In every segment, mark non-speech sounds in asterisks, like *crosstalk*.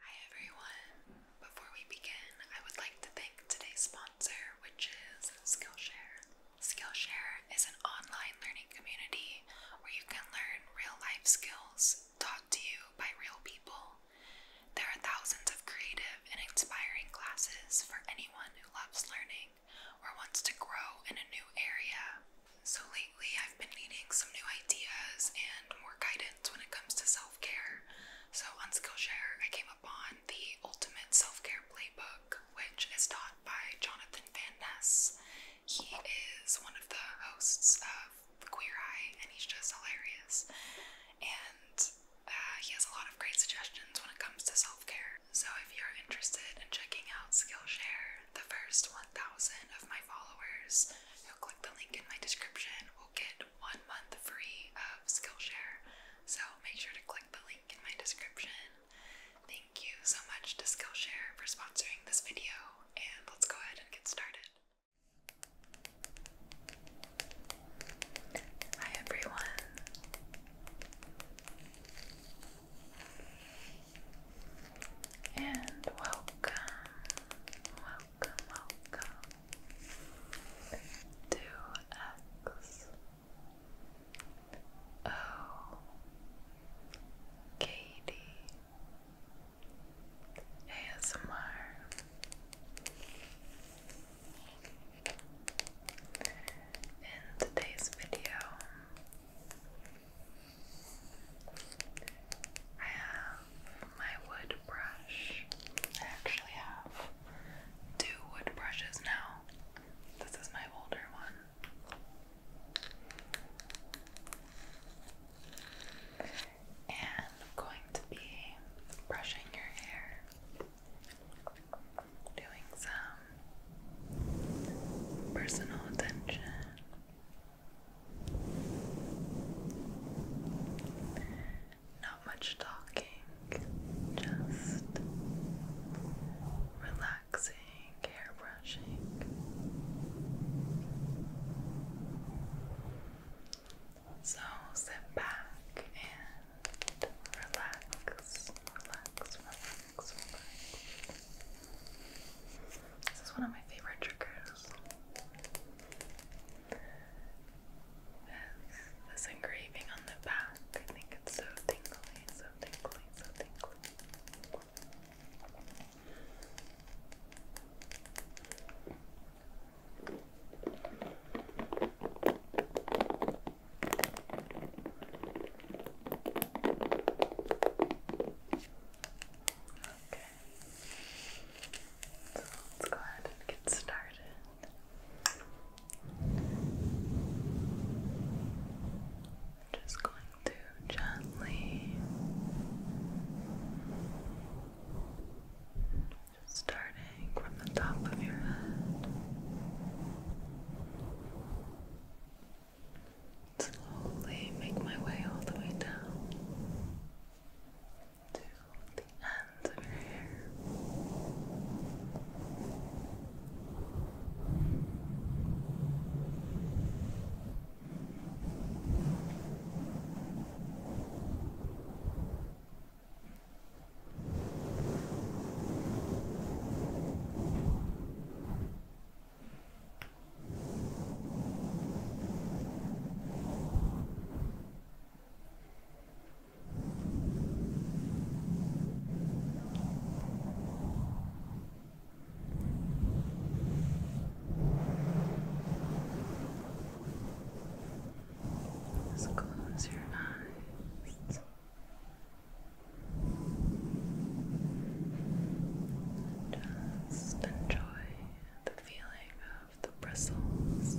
Hi everyone! Before we begin, I would like to thank today's sponsor, which is Skillshare. Skillshare is an online learning community where you can learn real life skills taught to you by real people. There are thousands of creative and inspiring classes for anyone who loves learning or wants to grow in a new area. So lately, I've been needing some new ideas and more guidance when it comes to self care. So on Skillshare, I came upon the Ultimate Self Care Playbook, which is taught by Jonathan Van Ness. He is one of the hosts of Queer Eye, and he's just hilarious. And uh, he has a lot of great suggestions when it comes to self care. So if you're interested in checking out Skillshare, the first 1,000 of my followers you'll click the link in my description, will get one month free of Skillshare. So make sure to click the link in my description. Thank you so much to Skillshare for sponsoring this video, and let's go ahead and get started. Hi everyone. And welcome, welcome, welcome to Katie ASMR. In today's video, I have my wood brush. I actually have two wood brushes now. This is my older one. And I'm going to be brushing your hair, doing some personal attention. Not much talking, just relaxing, hair brushing. So sit back and relax, relax, relax, this is one of my favorite triggers. This, engraving on the back, I think it's so tingly, so tingly, so tingly. So let's go ahead and get started. just going to gently just starting from the top of your head. Slowly make my way all the way down to the ends of your hair. Just close your eyes. Just enjoy the feeling of the bristles.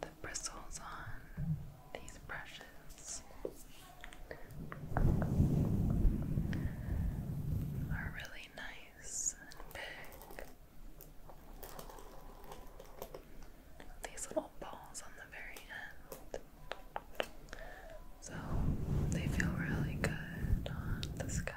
the bristles on these brushes are really nice and big. These little balls on the very end. So they feel really good on the scalp.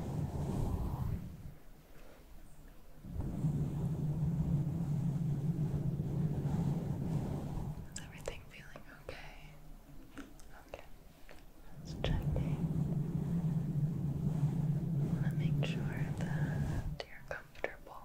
Is everything feeling okay? Okay. Let's want to make sure that you're comfortable.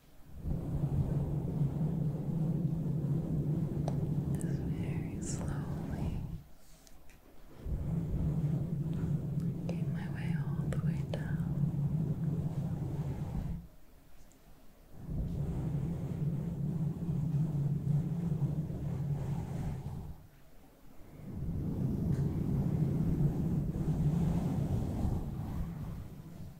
Just very slowly working my way all the way down.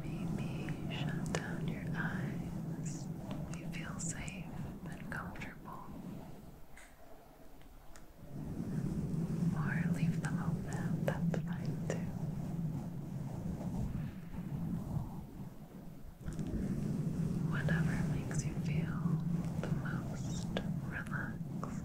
Maybe shut down your eyes if you feel safe and comfortable. Or leave them open, that's fine too. Whatever makes you feel the most relaxed.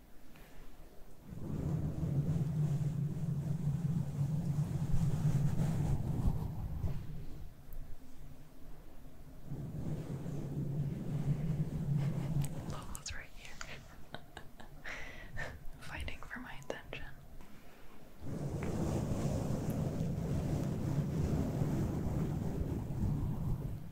Lola's right here, *laughs* fighting for my attention.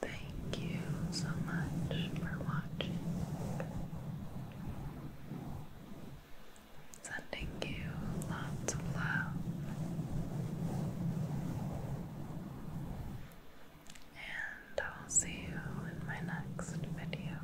Thank you so much for watching. Sending you lots of love and I'll see you in my next video.